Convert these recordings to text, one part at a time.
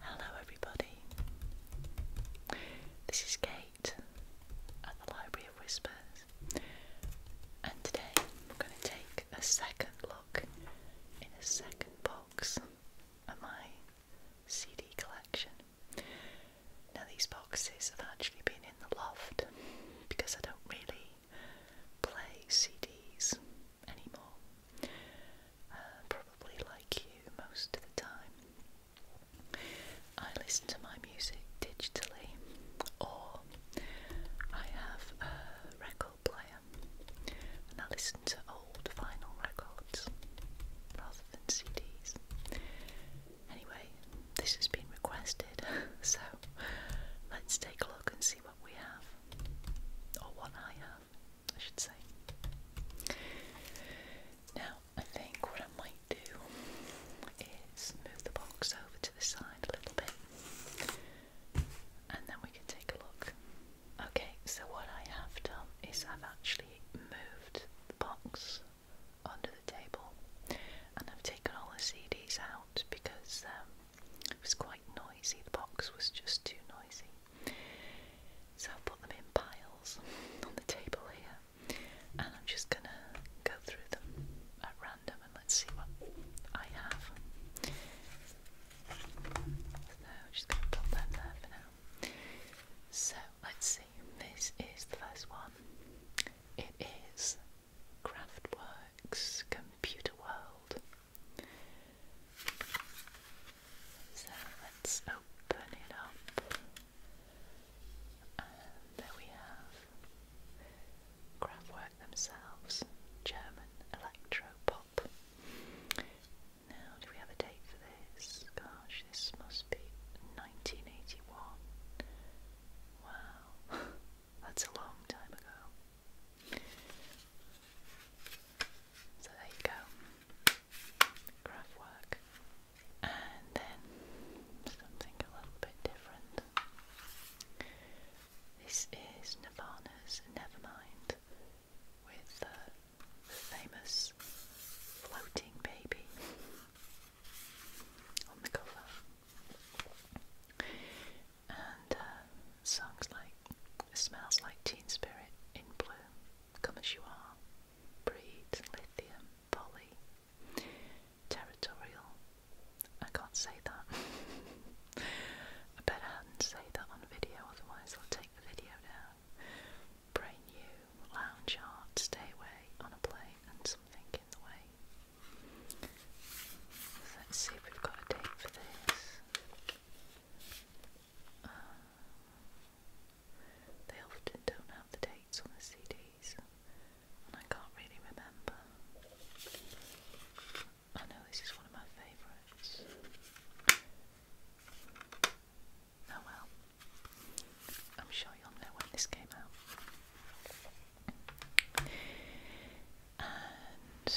Hello, everybody. This is Kate at the Library of Whispers, and today we're going to take a second look in a second box of my CD collection. Now, these boxes have actually been in the loft because I don't really play CDs anymore. Uh, probably like you most of the time. I listen to my music digitally, or I have a record player and I listen to old vinyl records rather than CDs. Anyway, this has been requested, so let's take a look and see what we have, or what I have. I should say. Now, I think what I might do is move the box over to the side a little bit and then we can take a look. Okay, so what I have done is I've actually moved the box under the table and I've taken all the CDs out because um, it was quite noisy, the box was just too noisy. So I put them in piles on the table here and I'm just gonna go through them at random and let's see what I have. So let's see, this is the first one. It is Craftworks Computer World so let's open it up. there we have Kraftwerk themselves, German electro pop. Now, do we have a date for this? Gosh, this must be 1981. Wow, that's a long time ago. So there you go, graph and then something a little bit different. This is Nirvana's mind, with the famous floating baby on the cover and uh, songs like Smells Like Teen Spirit, In Bloom, Come As You Are, Breed, Lithium, Polly, Territorial. I can't say that. I better not say that on video, otherwise they'll take the video down. Brain new, lounge art, stay away on a plane, and something in the way. let's see if we've got a date for this they often don't have the dates on the CDs, and I can't really remember. I know this is one of my favourites. Oh well, I'm sure you'll know when this came out. And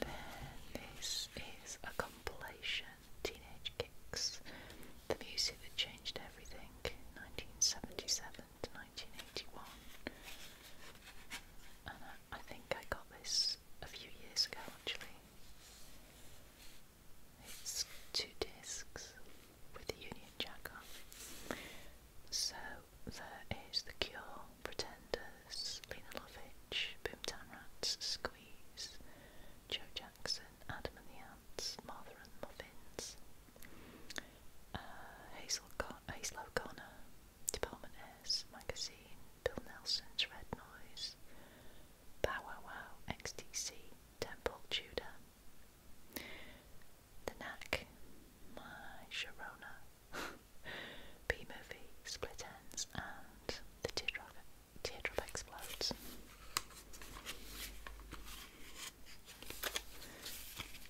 then this is a compilation, Teenage Kicks, the music that changed everything, 1977 to 1981. And I, I think I got this a few years ago actually. It's two discs with the Union Jack on. So there is The Cure, Pretenders, Lena Lovitch, Boomtown Rats, Squeeze, Joe Jackson, Adam and the Ants, Martha and the Muffins, uh, Hazel, Con Hazel O'Connor, Department S, Magazine, Bill Nelson's Red Noise, Pow Wow Wow, XTC, Temple Tudor, The Knack, My Sharona. B movie, Split Ends, and The Teardrop, Teardrop Explodes.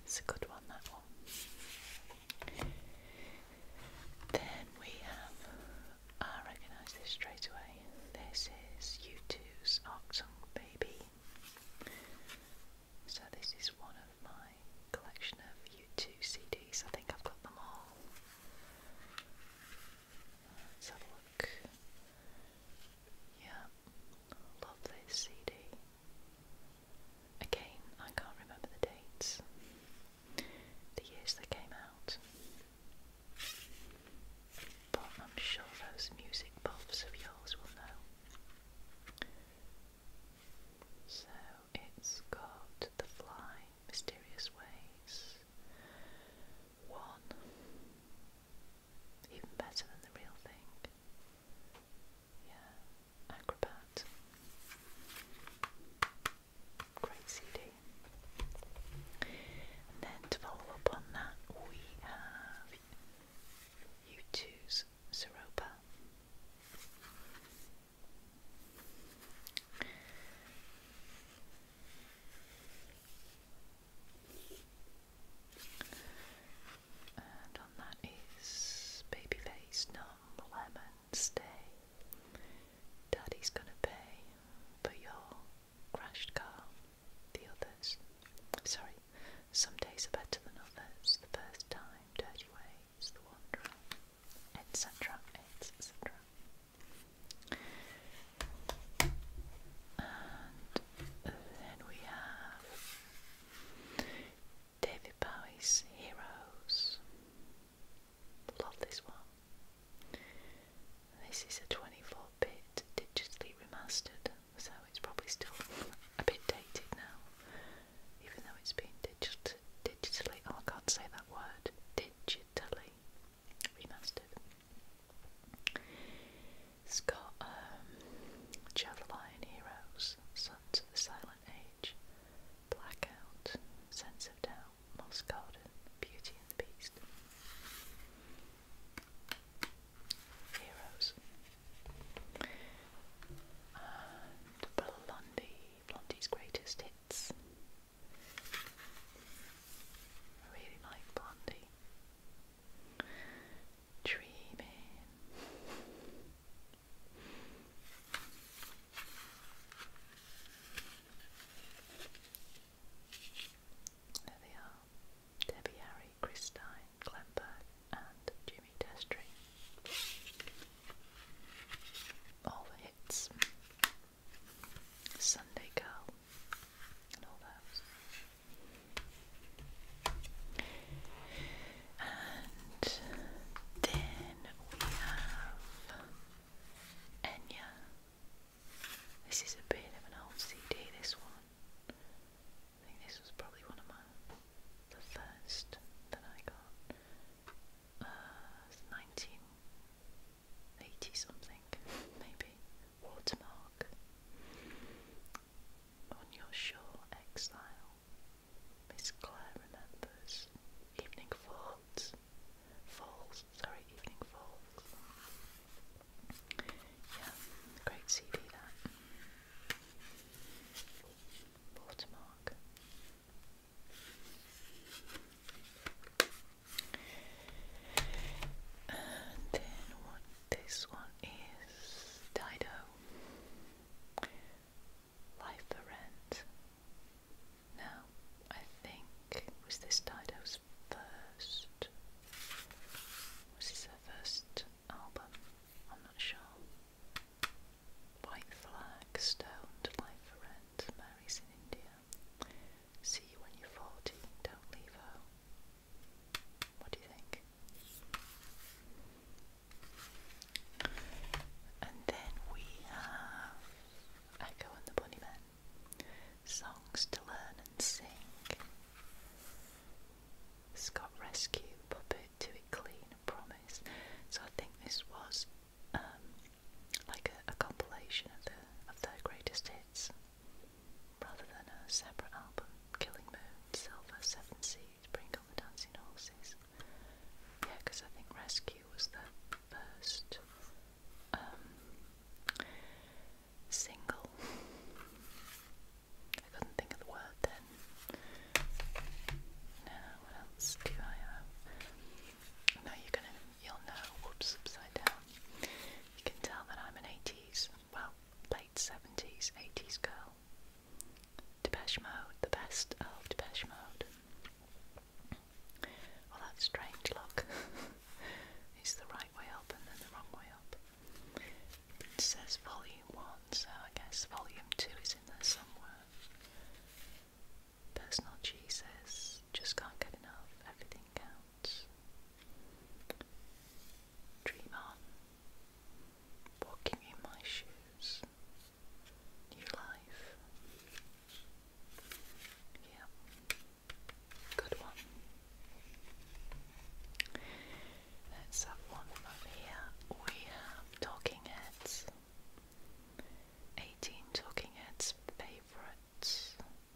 It's a good one, that one. Then we have, I recognise this straight away. This is U2's Octung Baby. So, this is one of my collection of U2 CDs. I think I've got them all. Let's have a look. Yeah, love CD. Again, I can't remember the dates, the years they came out. But I'm sure those music buffs of yours will know. So it's the fly mysterious ways. One, even better than the real thing. Yeah, Acrobat. Great CD. And then to follow up on that, we have U2's Zeropa. And on that is Babyface Numb Lemon Stay. Daddy's gonna pay for your crashed car. The others. Sorry, some days are better than others. The first time, Dirty Ways, The Wanderer etc. etc. And then we have David Bowie's Heroes. Love this one. This is a 24 bit digitally remastered, so it's probably still a bit dated now, even though it's been digit digitally. Oh, I can't say that word. Digitally Sky It's got um, Child Heroes, Sons of the Silent Age, Blackout, Sense of Doubt, Moss Garden, Beauty and the Beast. Heroes. Blondie, Blondie's Greatest Hits, I really like Blondie. Dreaming. There they are. Debbie Harry, Christine, Glenberg, and Jimmy Destry. All the hits. Sunday Girl, and all those. And then we have Enya. This is a bit of an old CD, this one. I think this was probably one of my the first that I got uh, 1980 something, maybe, watermark on your shore exile. Miss Clare remembers evening falls, falls, sorry, evening falls. Yeah, great CV that. Watermark. And then this one is Dido. Life for Rent. Now, I think was this Dido's first This is her first album? I'm not sure. White Flag, Stoned, Life for Rent, Mary's in India. See you when you're 40, don't leave her. What do you think? And then we have Echo and the Bunnymen. Songs to learn and sing. Scott Rescue, Puppet, Do It Clean, Promise. So I think this was um, like a, compilation of the of their greatest hits, rather than a separate album. Killing Moon, Silver, Seven Seas, Bring On the Dancing Horses. Yeah, because I think Rescue was their first um, single. I couldn't think of the word then. Now, what else do I have? No, you're gonna you'll know. Whoops, upside down. You can tell that I'm an 80s, well, late 70s, 80s girl. Depeche Mode, the best of Depeche Mode. Well, that's strange, look. it's the right way up and then the wrong way up. It says volume 1, so I guess volume 2 is in there somewhere. Personal G says, just can't get enough, everything counts. Dream on. Walking in my shoes. New life. Yeah. Good one. Let's have one from here. We have Talking Heads. 18 Talking Heads' favourite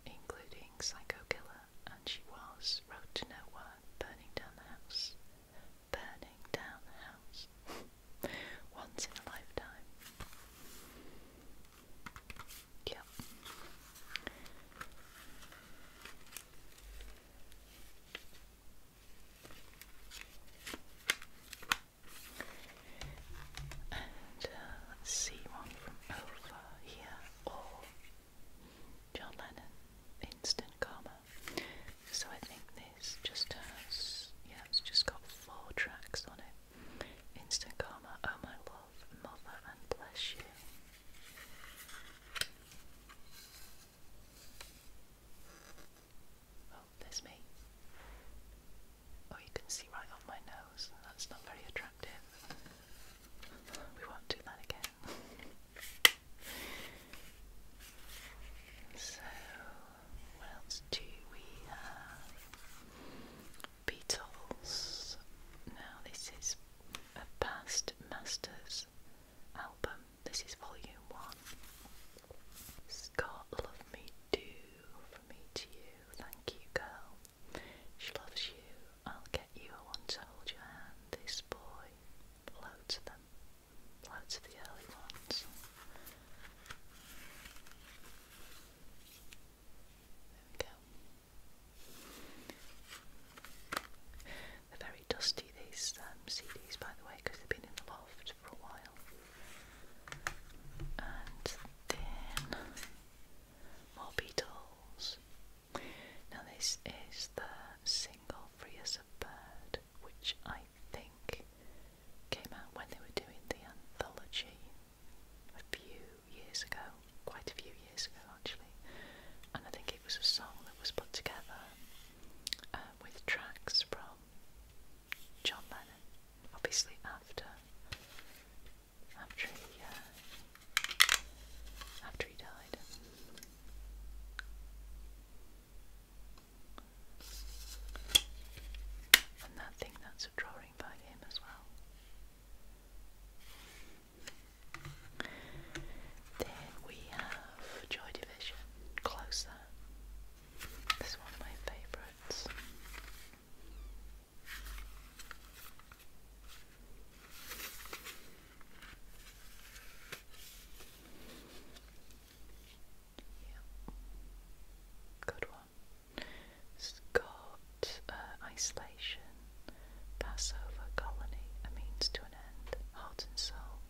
including Psycho Killer, and she was wrote to Nowhere, Burning Down the House. Burning Down the House. Once in a lifetime. Yep. And uh, let's see one from over here, or John Lennon, Instant Karma. So I think this just has, yeah, it's just got four tracks on it. Instant Karma, Oh My Love, Mother, and Bless You. Oh, there's me. Oh, you can see right off my nose. That's not very attractive. We won't do that again. so, what else do we have? Beatles. Now, this is a past masters album. This is volume one. Scott, love me do for me to you. Thank you, girl. She loves you. I'll get you. I want to hold your hand. This boy. Loads of them. Loads of the early ones. There we go. They're very dusty, these um, CDs, by the way, because they've been in the loft for a while. And then more beetles. Now, this is the single Free as a Bird, which I think came out when they were doing the anthology a few years ago, quite a few years ago actually. And I think it was a song that was put together uh, with tracks from John Lennon, obviously after after he, uh, after he died. And that thing, that's a drawing by him as well. Then we have Joy Division, Closer. This is one of my favourites. Good one. it uh, isolation, Passover, colony, a means to an end, heart and soul,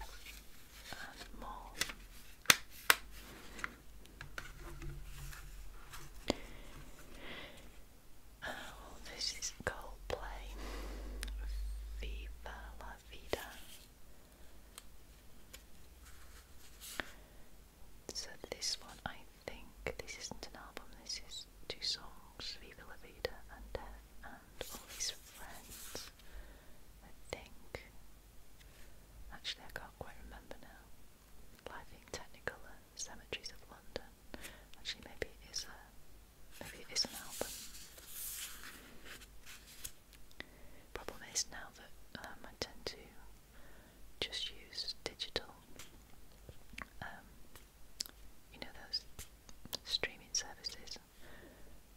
and more. Oh, this is Coldplay. Viva la vida. So this one, I think, this isn't an album. This is two songs: Viva la vida and and All These Friends. I think. Actually, I can't quite remember now. Life in uh, Cemeteries of London. Actually, maybe it is a, uh, maybe it is an album. Problem is now that um, I tend to just use digital, um, you know those streaming services.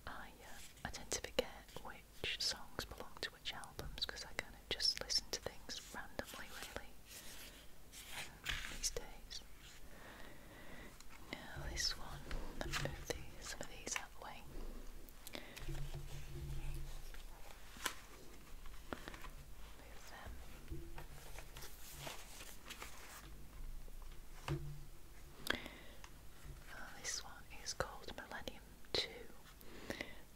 I uh, I tend to forget which songs belong to which albums because I kind of just listen to things randomly, really, these days. Now, this one, some of these out the way. Move them. Uh, this one is called Millennium 2.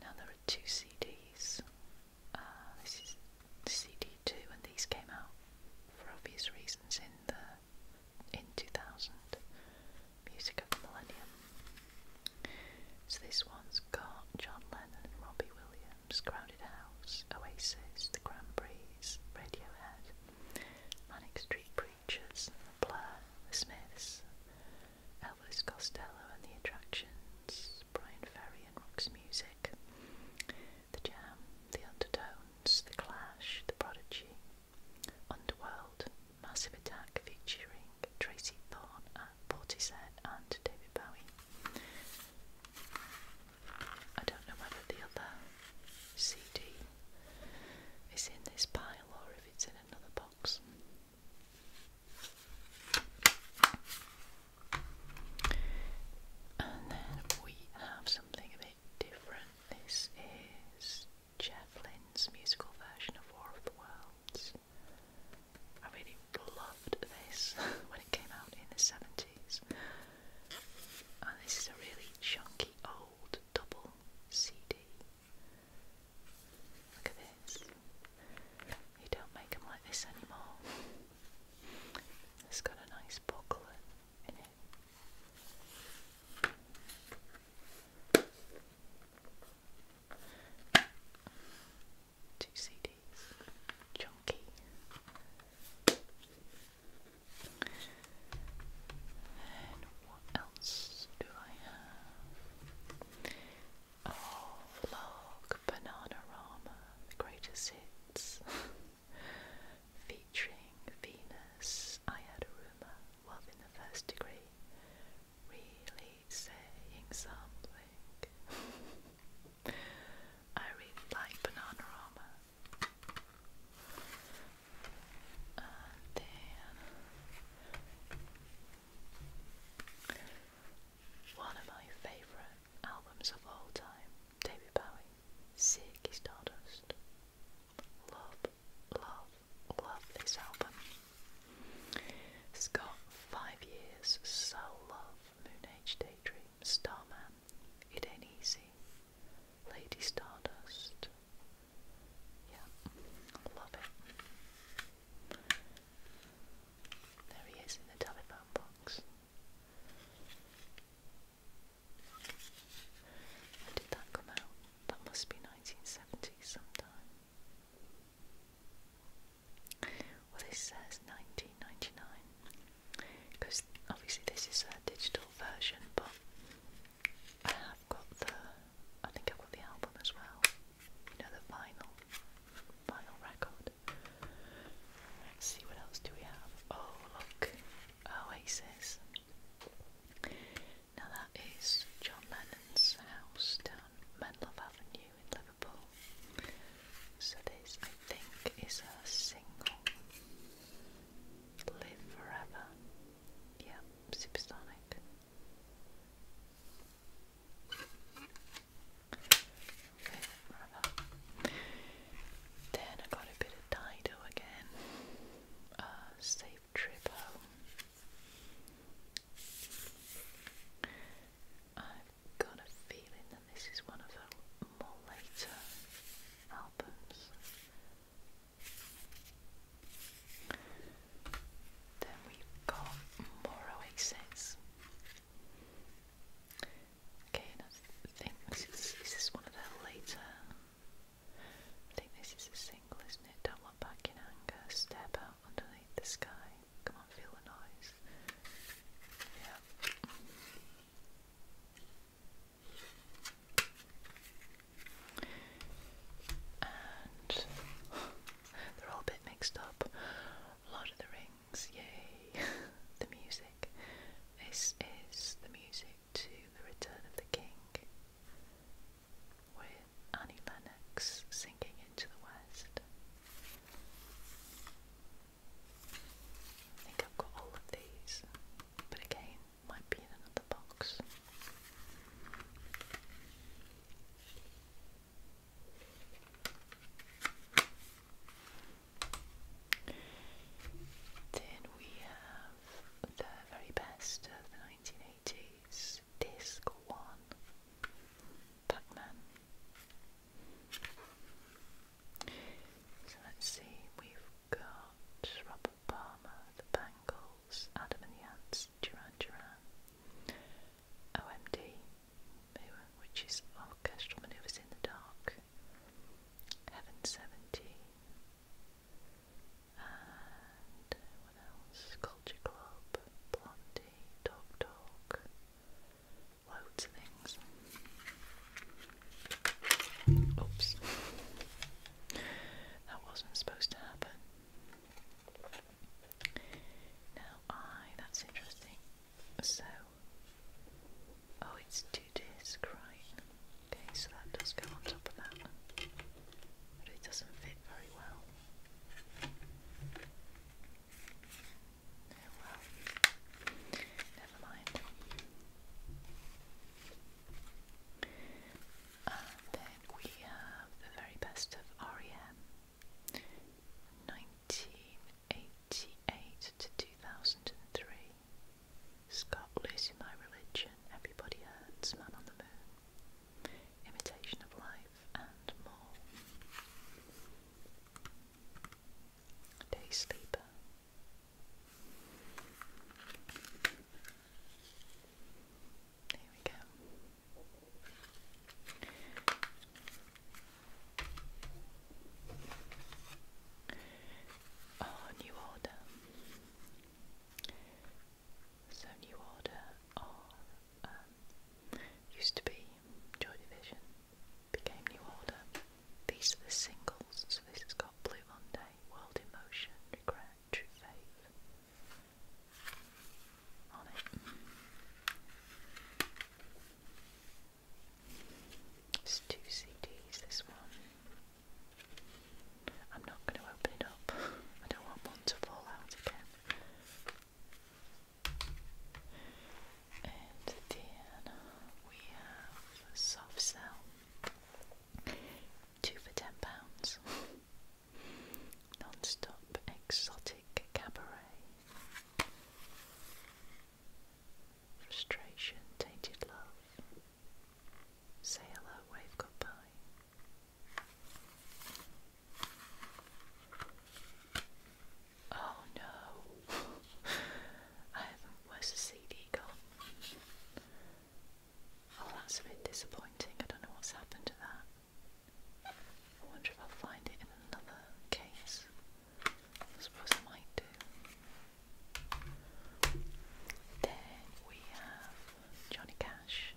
Now, there two CDs. Uh, this is CD two, and these came out for obvious reasons in the in two thousand music of the millennium. So this one's got John Lennon and Robbie Williams, Crowded House, Oasis, The Grand Breeze, Radiohead, Manic Street Preachers, The Blur, The Smiths, Elvis Costello and the Attractions, Brian Ferry and Rock's Music, The Jam, The Undertones, The Clash, The Prodigy, Underworld, Massive Attack featuring Tracy Thorn at Portishead and David Bowie. I don't know whether the other CD is in this pile or if it's in another box. And then we have something a bit different. This is Jeff Lynne's musical version of War of the Worlds. I really loved this when it came out in the 70s. And this is a really chunky old double CD. Look at this. You don't make them like this anymore. It's got a nice bucklet in it. Two CDs, chunky. And what else do I have? vlog oh, Bananarama, the greatest hits. Featuring Venus, I had a rumour, love in the first degree, really saying something. I really like Bananarama. One of my favourite albums of all time, David Bowie, Ziggy Stardust. Love, love, love this album. It's got Five Years, Soul Love, Moon Age Daydream, Starman, It Ain't Easy, Lady Stardust. Yeah, love it. There he is in the telephone box. When did that come out? That must be 1970 sometime. Well, this says 1999 because obviously this is a digital version, but I have got the. I think I've got the album as well you know, the final, final record. Let's see what else do we have. Oh, look, Oasis. Now that is John Lennon's house down Menlove Avenue in Liverpool. So this, I think, is a single. Live forever. Yeah, supersonic. Okay, then I got a bit of Dido again. Uh, safe trip home. I've got a feeling that this is one of her later albums. Then we've got Moro Exits. Okay, and I is, this one of their later. I think this is a single, isn't it? do back in anger, step out underneath the sky. Come on, feel the noise. Yeah. And they're all a bit mixed up. Lord of the Rings, yay! the music. This is the music to The Return of the King with Annie Lennox singing Into the West. I think I've got all of these, but again, might be another box. Then we have the very best of the 1980s, Disc 1, Pac-Man. So let's see, we've got Robert Palmer, The Bangles, Adam and the Ants, Duran Duran, OMD, which is Orchestral Maneuvers in the Dark, Heaven 70, and uh, what else? Culture Club, Blondie, Dog Talk, loads of things. Oops, that wasn't supposed to happen. Now, I that's interesting. So, oh, it's two disc, right? Okay, so that does go on top of that, but it doesn't fit very well. Oh, never mind. And then we have the very best of REM. 1888 to 2003. Scott Lucy My Religion, Everybody Hurts, Man on the Moon, Imitation of Life, and more. Day Sleeper. Here we go. Oh, new order. So new order um, used to be Joy Division, became New Order. These are the singles, so this has got Blue Monday, World in Motion, Regret, True Faith on It's two CDs, this one. I'm not going to open it up, I don't want one to fall out again. And then we have Soft Cell, two for ten pounds. Non-stop exotic cabaret, Frustration, tainted love. Say hello, wave goodbye. Oh no. I haven't where's the CD Oh that's a bit disappointing. I don't know what's happened to that. I wonder if I'll find it in another case. I suppose I might do. Then we have Johnny Cash.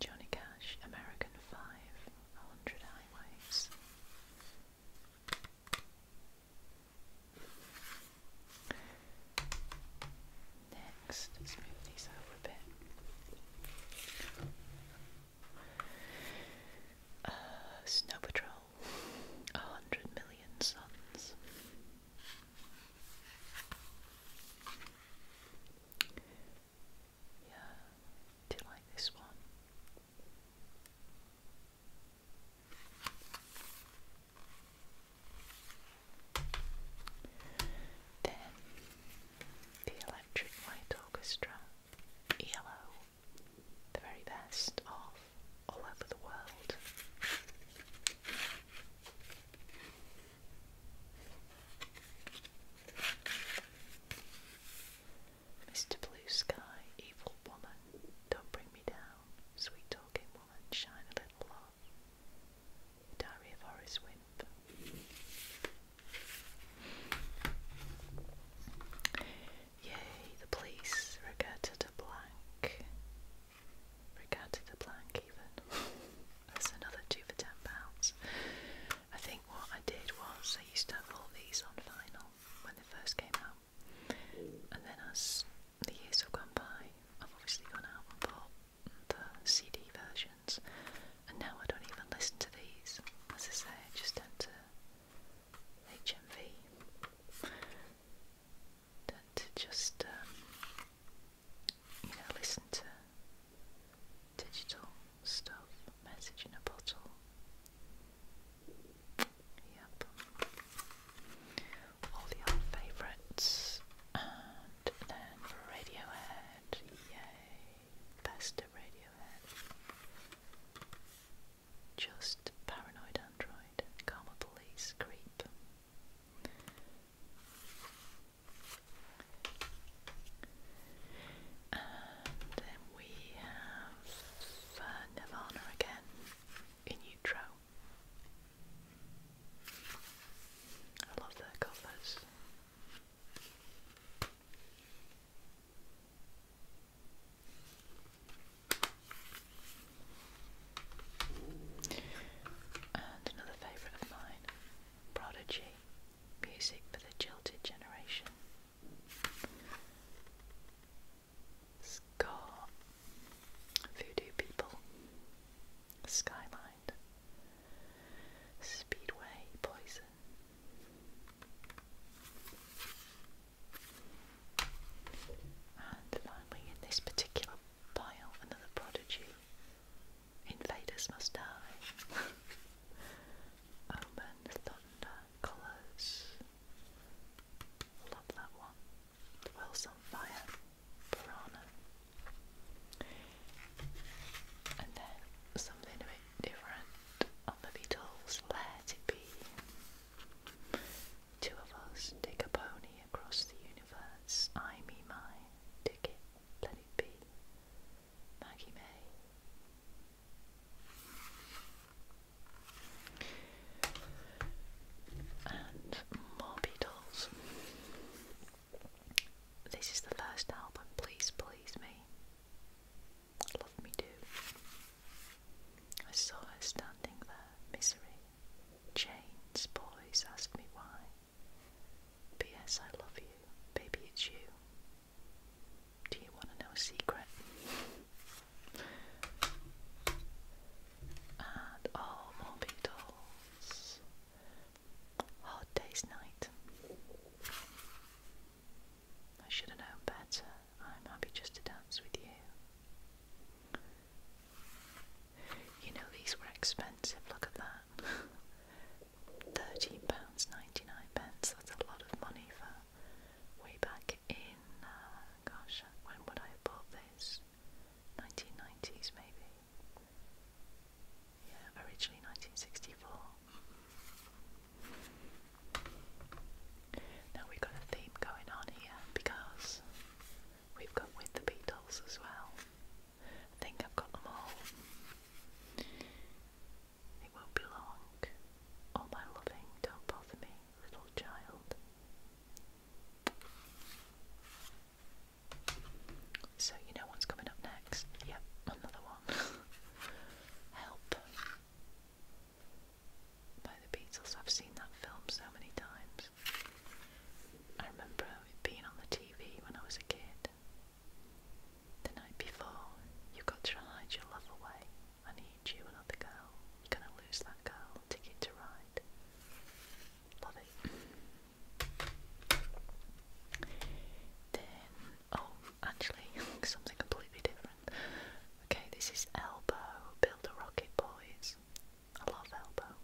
Johnny Cash, American Five, A Next, let these over a bit. Uh, Snow Patrol, A Hundred Million Suns. Yeah, do like this one? Then the Electric Light Orchestra yellow, the very best of all over the world. Mr. Blue Sky, evil woman, don't bring me down, sweet talking woman, shine a little love. Diary of Horace Wimp. Yay, the police, Regatta de Blanc. Regatta de Blanc, even. That's another two for ten pounds. I think what I did was I used to have all these on vinyl when they first came out. And then as the years have gone by, I've obviously gone out and bought the CD versions. And now I don't even listen to these. As I say, I just enter HMV. Tend just, um, you know, listen to digital stuff, message in a bottle. Yep. All the old favourites. And then Radiohead, yay. Best of Radiohead. Just paranoid android, karma police, creep. And we have uh, Nirvana again in Utro. I love their covers. And another favourite of mine, Prodigy, Music for the Jilted Generation. Scar, Voodoo People, Skyline, Speedway, Poison, and finally, in this particular pile, another prodigy. Invaders must die. Omen, thunder, colours. Love that one. The world's fire. Piranha. And then something different the Beatles. Let it be. Two of us take a pony across the universe. I me mine. Take Let it be. Maggie May. And more Beatles. This is the first album, Please Please Me. Love me do. I saw her standing there, misery. Chains, boys ask me why. P.S. I love you. Baby, it's you. Do you want to know a secret? and oh, more Beatles. Hard Day's Night. I should have known better. I'm happy just to dance with you. You know, these were expensive. Look at that. £13.99. Pence. That's a lot of money for way back in, uh, gosh, uh, when would I have bought this? 1990s maybe. Yeah, originally 1964. Now we've got a theme going on here because we've got the Beatles as well. I think I've got them all. It won't be long. All my loving, don't bother me, little child. So, you know what's coming up next? Yep, another one. Help by the Beatles. I've seen that film so many times. I remember it being on the TV when I was a kid. The night before, you've got to hide your love away. I need you, another girl. You're gonna lose that girl. Ticket to ride. Love Then, oh, actually, something completely different. Okay, this is Elbow, Build a Rocket Boys. I love Elbow.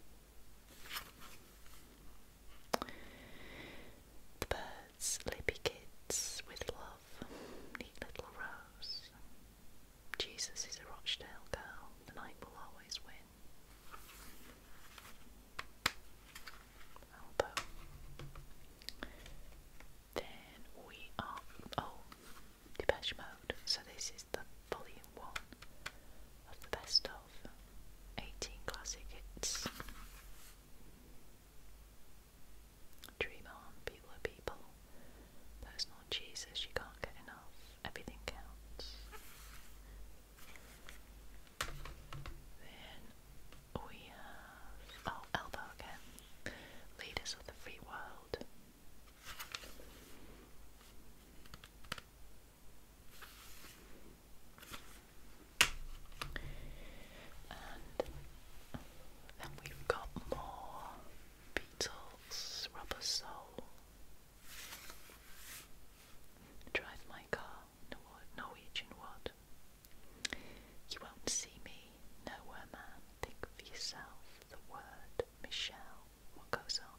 The Birds, sleepy Kids with Love, Neat Little Rose. Jesus is a Rothschild girl, the night will always win. Elbow. Then we are oh, Depeche Mode. So this is the volume one of the best of eighteen classic hits. Dream on, people are people. Personal Jesus, you can't get enough. Everything counts. Then we have oh again. Leaders of the free world. And then we've got more Beatles, Rubber Soul, Drive My Car, Norwegian Wood, you won't see me nowhere, man. Think for yourself the word Michelle. What goes on?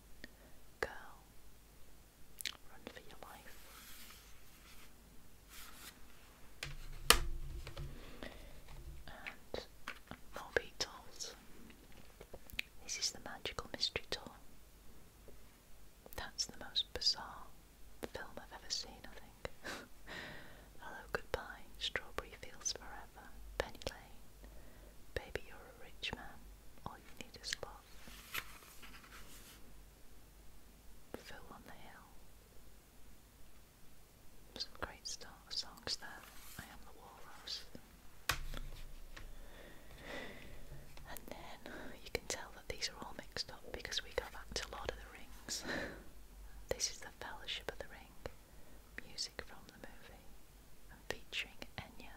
Girl, run for your life. And more Beatles. This is the Magical Mystery Tour. That's the most bizarre film I've ever seen, I think. Hello, goodbye, strawberry fields forever, Penny Lane. Baby, you're a rich man. All you need is love. Phil on the hill. Some great start songs there. I am the walrus. And then you can tell that these are all mixed up because we go back to Lord of the Rings. this is the Fellowship of the Ring, music from the movie, featuring Enya.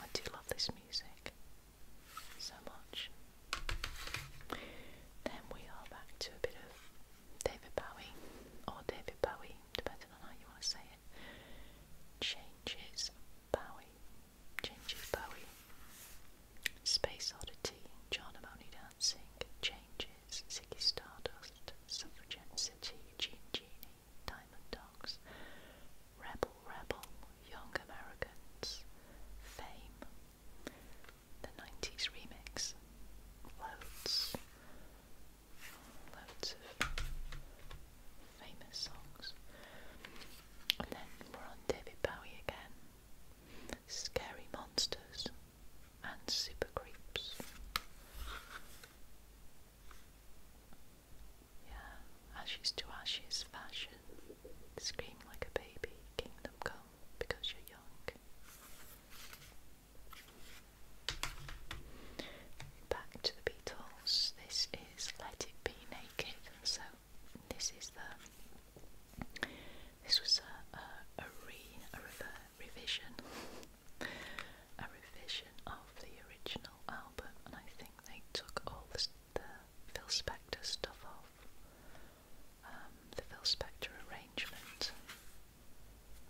I do love this music so much. Then we are back to a bit of David Bowie, or David Bowie, depending on how you want to say it. Changes Bowie Changes Bowie. Space Oddity, Charnamoni Dancing, Changes, Ziggy Stardust, Suffragette City, Jean Genie, Diamond Dogs, Rebel Rebel, Young Americans, Fame, the 90s remix, loads, loads of famous songs. And then we're on David Bowie again scary monsters, and super creeps. Yeah, ashes to ashes fashion. Scream like a baby, kingdom come, because you're young. Back to the Beatles. This is Let It Be Naked. So this is the this was a a, re a rever, revision a revision of the original album, and I think they took all the, Phil Spector stuff off um, the Phil Spector arrangement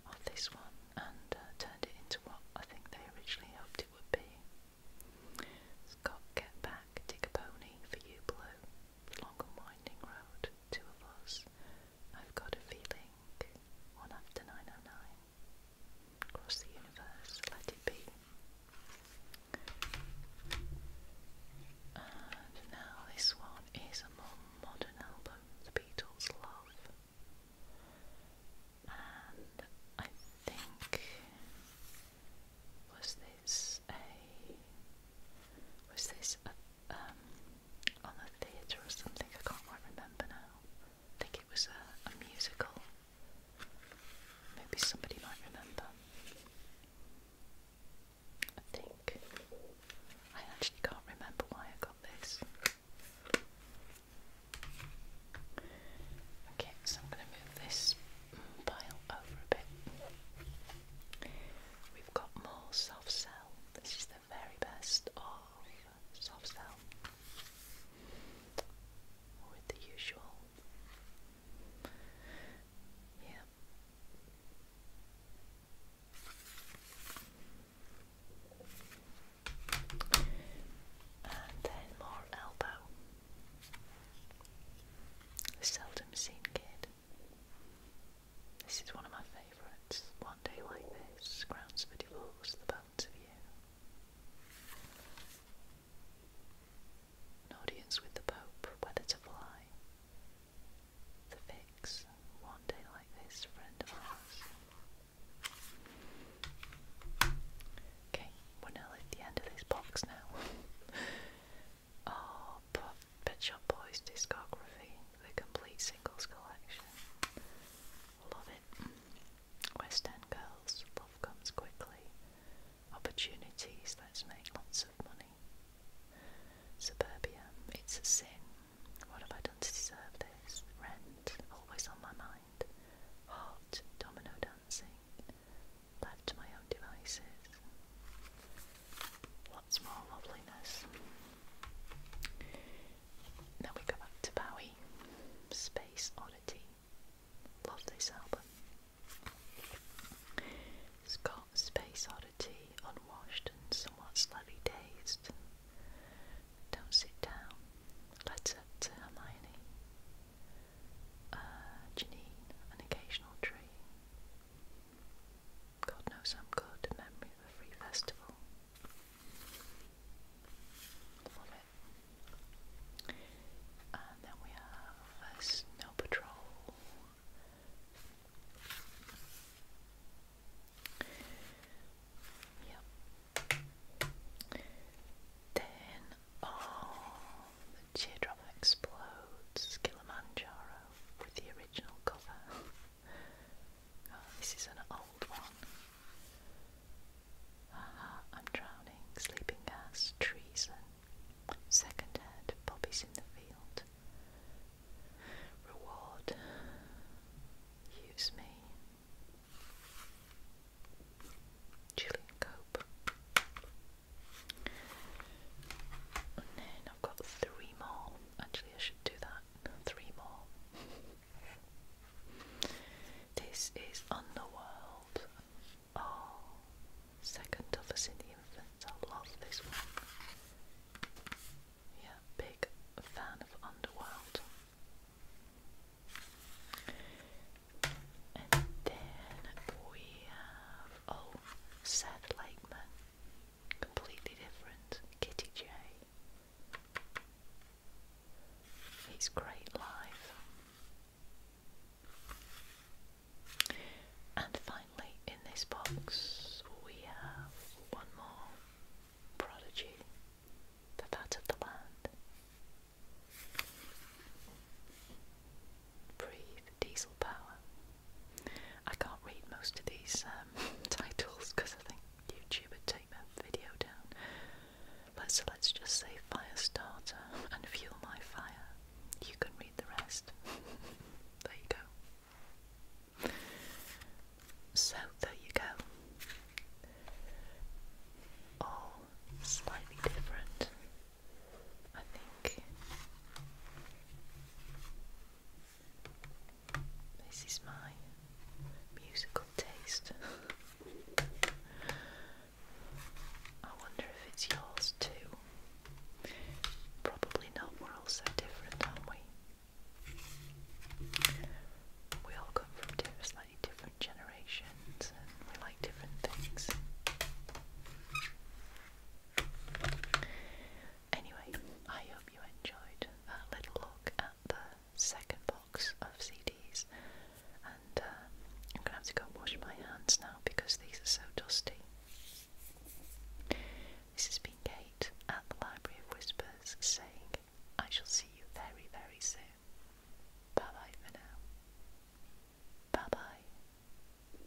of this one and uh, turned it into what I think they originally hoped it would be. it Get Back, Dig a Pony for You Blue along winding road, two of us, I've got a feeling, one after 909, across the universe, let it be. And now this one is a more modern album, The Beatles' Love. And I think was this a was this a, um on a theatre or something? I can't quite remember now. I think it was a, a musical. Maybe somebody might remember. I think I actually can't remember why I got this. Okay, so I'm going to move this pile over a bit. We've got more soft cell. This is the very best of soft cell with the usual. Yeah. And then more elbow. seldom seen kid. This is one of my favourites. One Day Like This, Grounds for Divorce, The Balance of You. An Audience with the Pope, Whether to Fly. The Fix, One Day Like This, Friend of Ours. Okay, we're nearly at the end of this box now. Oh, but Pet Shop Boys discography, the complete singles collection. Love it. West End Girls, Love Comes Quickly. Opportunities, let's make lots of money. Suburbia, It's a Sin. What have I done to deserve this? Rent, always on my mind. Heart, Domino Dancing left to my own devices. Lots more loveliness. Now we go back to Bowie, Space Oddity. Love this album. It's got Space Oddity, Unwashed and Somewhat Slightly Dazed. Don't Sit Down, Letter to Hermione, uh, Janine, An Occasional Tree, God knows I'm good in memory of a free festival. Love it. And then we have a Snow Patrol. Yep. Then, oh, Teardrop Explodes Kilimanjaro with the original cover. Oh, this is an old one. I'm drowning, sleeping gas, treason. Second head, Bobby's in the field. Reward, use me. Gillian Cope. Oh, and then I've got three more. Actually, I should do that. Three more. This is Underworld. Oh, second toughest in the infants. I love this one. Yeah, big fan of Underworld. And then we have Oh, said Lakeman. Completely different. Kitty J. It's great life. And finally, in this box, we have one more prodigy, the fat of the land. Breathe diesel power. I can't read most of these um, titles because I think YouTube would take that video down. But let's just say fire starter and Fuel My Fire. You can read the rest. there you go. So there you go. All slightly different I think this is my musical taste. I wonder if it's yours too. Probably not, we're all so different, aren't we? We all come from slightly different generations we like different things. Anyway, I hope you enjoyed a little look at the second box of CDs, and uh, I'm gonna have to go wash my hands now because these are so dusty. This has been Kate at the Library of Whispers saying, I shall see you very, very soon. Bye bye for now. Bye bye.